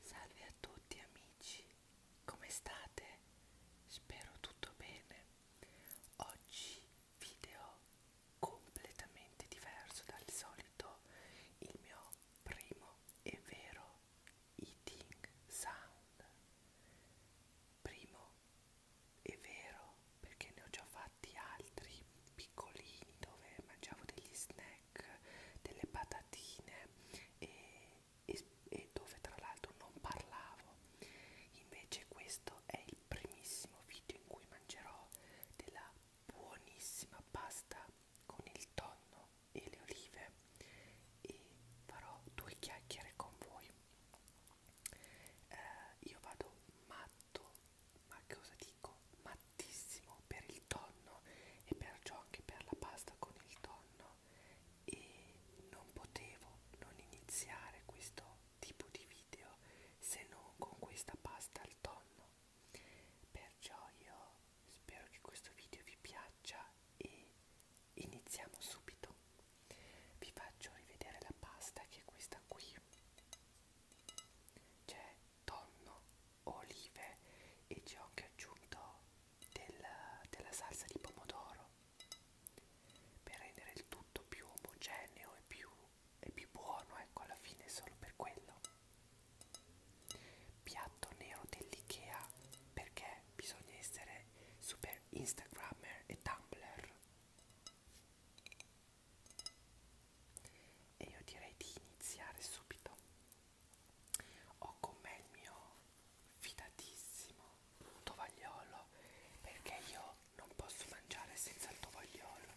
Salve a tutti amici, come state? Spero tutto bene. Oggi video completamente diverso dal solito, il mio primo e vero eating sound. Primo e vero perché ne ho già fatti altri piccolini dove mangiavo degli snack snack, delle patatine e, e, e dove tra l'altro non parlavo. Invece questo è il primissimo video in cui mangerò della buonissima pasta con il tonno e le olive e farò due chiacchiere con voi. Eh, io vado matto, ma cosa dico? Mattissimo per il tonno e perciò anche per la pasta con il tonno e non potevo non iniziare questo tipo di video se non con questa pasta al tonno perciò io spero che questo video vi piaccia e iniziamo subito vi faccio rivedere la pasta che è questa qui c'è tonno olive e ci ho anche aggiunto del, della salsa di pomodoro per rendere il tutto più omogeneo e più, e più buono, ecco alla fine solo per quello. Piatto nero dell'IKEA perché bisogna essere super Instagrammer e Tumblr. E io direi di iniziare subito ho con me il mio fidatissimo tovagliolo perché io non posso mangiare senza il tovagliolo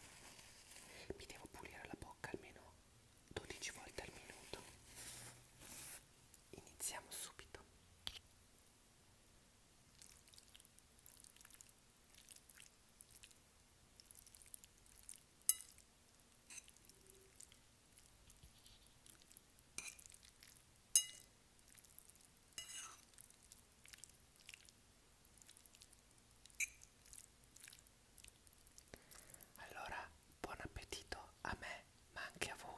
mi devo pulire la bocca almeno 12 volte al minuto iniziamo subito allora, buon appetito a me, ma anche a voi.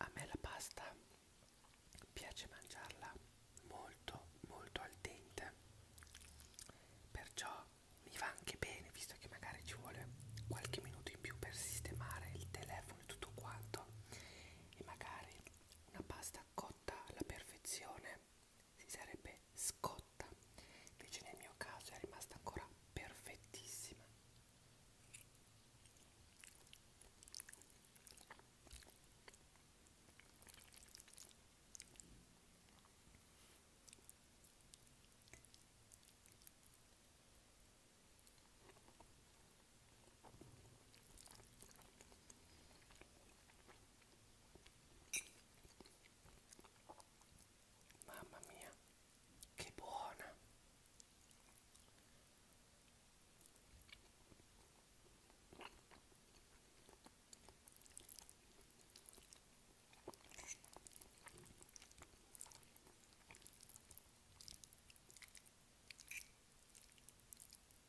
A me la pasta piace mangiarla molto molto al dente, perciò mi va anche bene visto che magari ci vuole qualche minuto in più per sistemare il telefono e tutto quanto e magari una pasta cotta alla perfezione si sarebbe scotta, invece nel mio caso è rimasta ancora perfettissima. Mamma mia, che buona!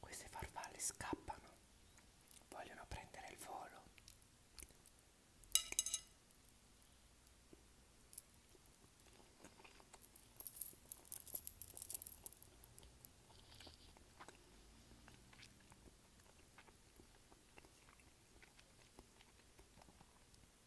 Queste farfalle scappano, vogliono prendere il volo.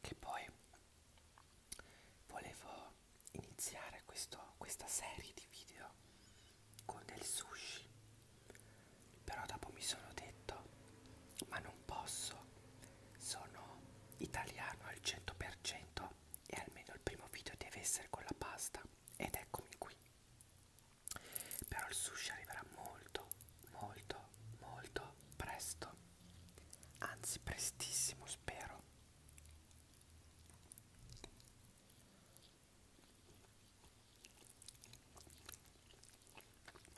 Che poi volevo iniziare questo, questa serie di video con del sushi però dopo mi sono detto, ma non posso, sono italiano al 100% e almeno il primo video deve essere con la pasta ed eccomi qui. Però il sushi arriverà molto, molto, molto presto, anzi prestissimo spero.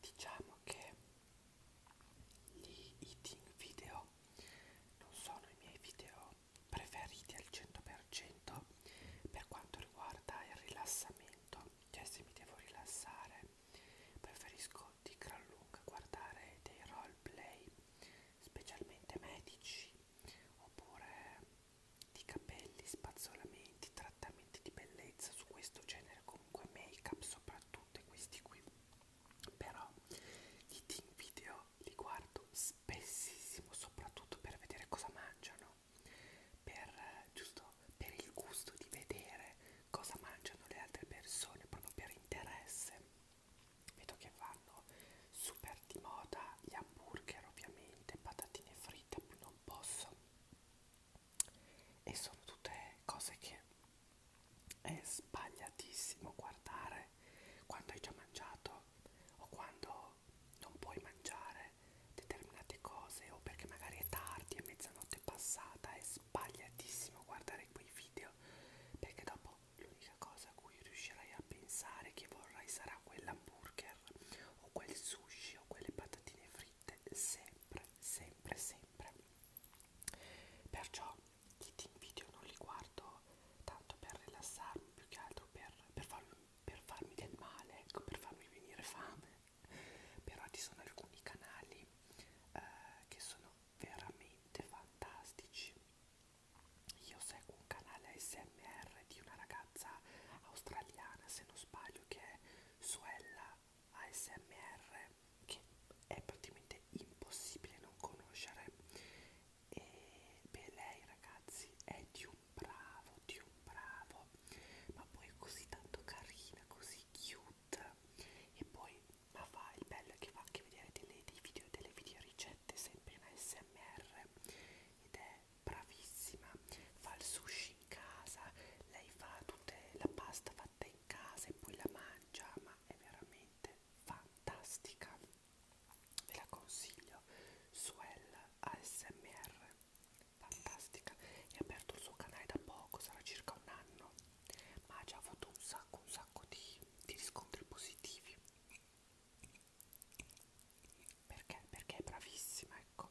Diciamo che gli eating video non sono i miei video preferiti al 100% per quanto riguarda il rilassamento, cioè se mi devo rilassare preferisco di gran lunga guardare dei roleplay, specialmente medici oppure di capelli, spazzolamenti, trattamenti di bellezza su questo genere, comunque make up soprattutto e questi qui. Però i team video li guardo spessissimo, soprattutto per vedere cosa mangiano, per giusto per il gusto di vedere cosa mangiano le altre persone, proprio per interesse. Vedo che vanno super di moda gli hamburger ovviamente, patatine fritte, non posso. E sono tutte cose che è sbagliatissimo guardare quando hai già mangiato o quando non puoi mangiare determinate cose o perché magari è tardi, è mezzanotte passata, è sbagliatissimo guardare quei video perché dopo l'unica cosa a cui riuscirai a pensare che vorrai sarà quell'hamburger o quel sushi o quelle patatine fritte sempre, sempre, sempre. Perciò i team video non li guardo tanto per rilassarmi, più che altro per, per, farmi, per farmi del male, ecco, per farmi venire fame. Però ci sono alcuni canali eh, che sono veramente fantastici io seguo un canale ASMR di una ragazza australiana, se non sbaglio, che è Suella ASMR, che è praticamente impossibile non conoscere. E beh, lei ragazzi è di un bravo, di un bravo, ma poi è così tanto carina, così cute. E poi, ma fa il bello che fa anche vedere dei, dei video video, delle video ricette sempre in ASMR ed è bravissima, fa il sushi in casa, lei fa tutta la pasta fatta in casa e poi la mangia, ma è veramente fantastica. Ve la consiglio, Suel ASMR, fantastica, è aperto il suo canale da poco, sarà circa un anno, ma ha già avuto un sacco, un sacco di, di riscontri positivi perché? Perché è bravissima, ecco.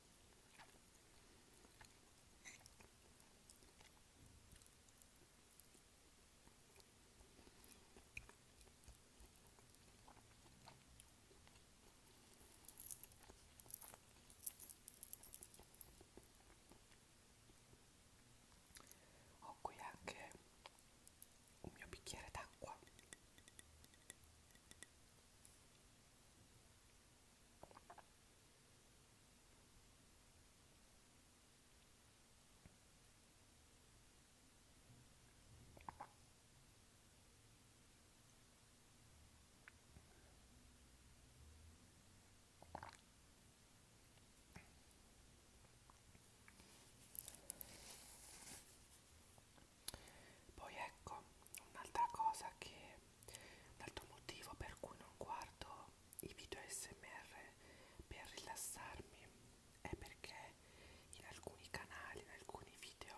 Ho qui anche un mio bicchiere d'acqua poi ecco un'altra cosa che L'altro motivo per cui non guardo i video ASMR per rilassarmi è perché in alcuni canali, in alcuni video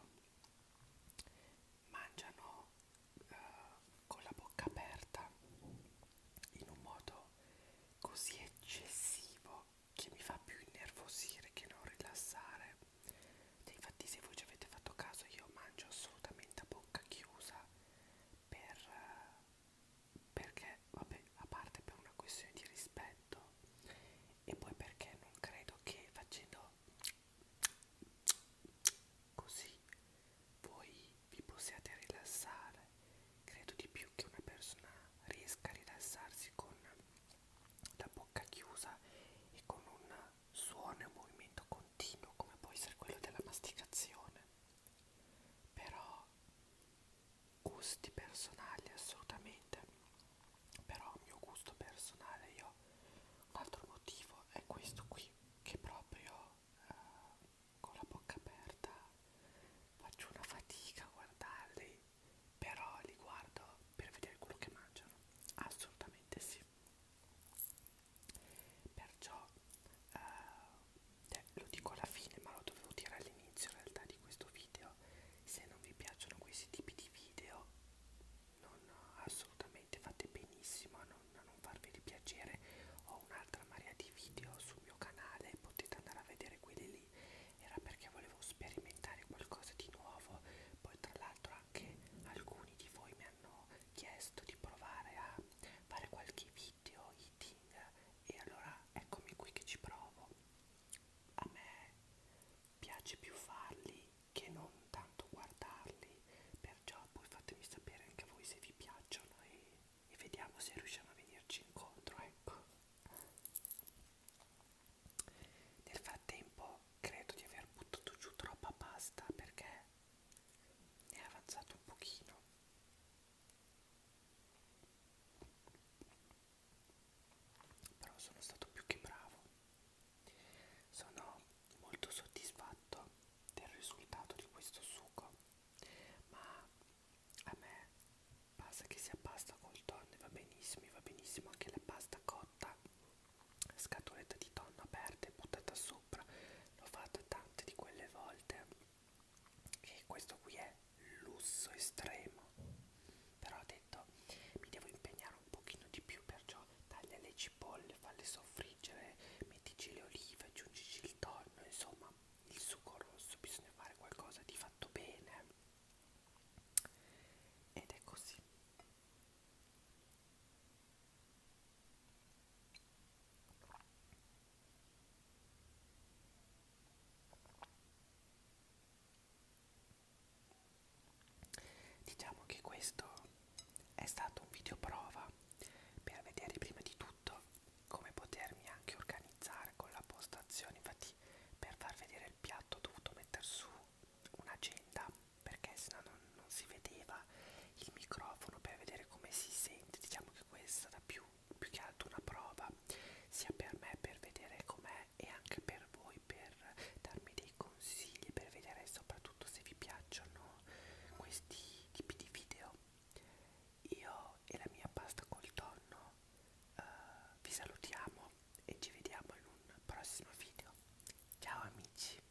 mangiano eh, con la bocca aperta in un modo così eccessivo che mi fa più innervosire che non rilassare cioè, infatti se voi ci avete fatto caso io mangio assolutamente a bocca chiusa per, perché vabbè a parte per una questione di rispetto e poi perché non credo che facendo così voi vi possiate rilassare credo di più che una persona riesca a rilassarsi con la bocca chiusa e con un suono e un movimento con continuo come può essere quello della masticazione, però gusti personali assolutamente, però a mio gusto personale io un altro motivo è questo qui, che proprio eh, con la bocca aperta faccio una fatica a guardarli, però li guardo per vedere quello che mangiano, assolutamente sì oggi perciò eh, eh, lo dico alla fine ma lo dovevo dire all'inizio in realtà di questo video se non vi piacciono questi tipi di video non assolutamente fate benissimo a non, a non farvi di piacere ho un'altra marea di video sul mio canale potete andare a vedere quelli lì era perché volevo sperimentare qualcosa di nuovo poi tra l'altro anche alcuni di voi mi hanno chiesto di provare a fare qualche video eating e allora eccomi qui che ci provo a me piace più farli che non tanto guardarli perciò poi fatemi sapere anche a voi se vi piacciono e, e vediamo se riusciamo a venirci incontro ecco nel frattempo credo di aver buttato giù troppa pasta perché è avanzato un pochino però sono stato più che bravo sono molto soddisfatto del risultato di questo succo ma a me basta che sia pasta col tonno va benissimo va benissimo anche la pasta cotta scatoletta di tonno aperta e buttata su sopra l'ho fatto tante di quelle volte e questo qui è lusso estremo però ho detto mi devo impegnare un pochino di più perciò taglia le cipolle falle soffriggere mettici le olive aggiungici il tonno insomma il succo rosso bisogna fare qualcosa di fatto bene ed è così Diciamo che questo è stato un video prova per vedere prima di tutto come potermi anche organizzare con la postazione, infatti per far vedere il piatto ho dovuto mettere su un'agenda perché sennò non, non si vedeva il microfono per vedere come si sente diciamo che questa è stata più, più che altro una prova sia per me per vedere com'è e anche per voi per darmi dei consigli per vedere soprattutto se vi piacciono questi tipi di video io e la mia pasta col tonno uh, vi salutiamo e ci vediamo in un prossimo video ciao amici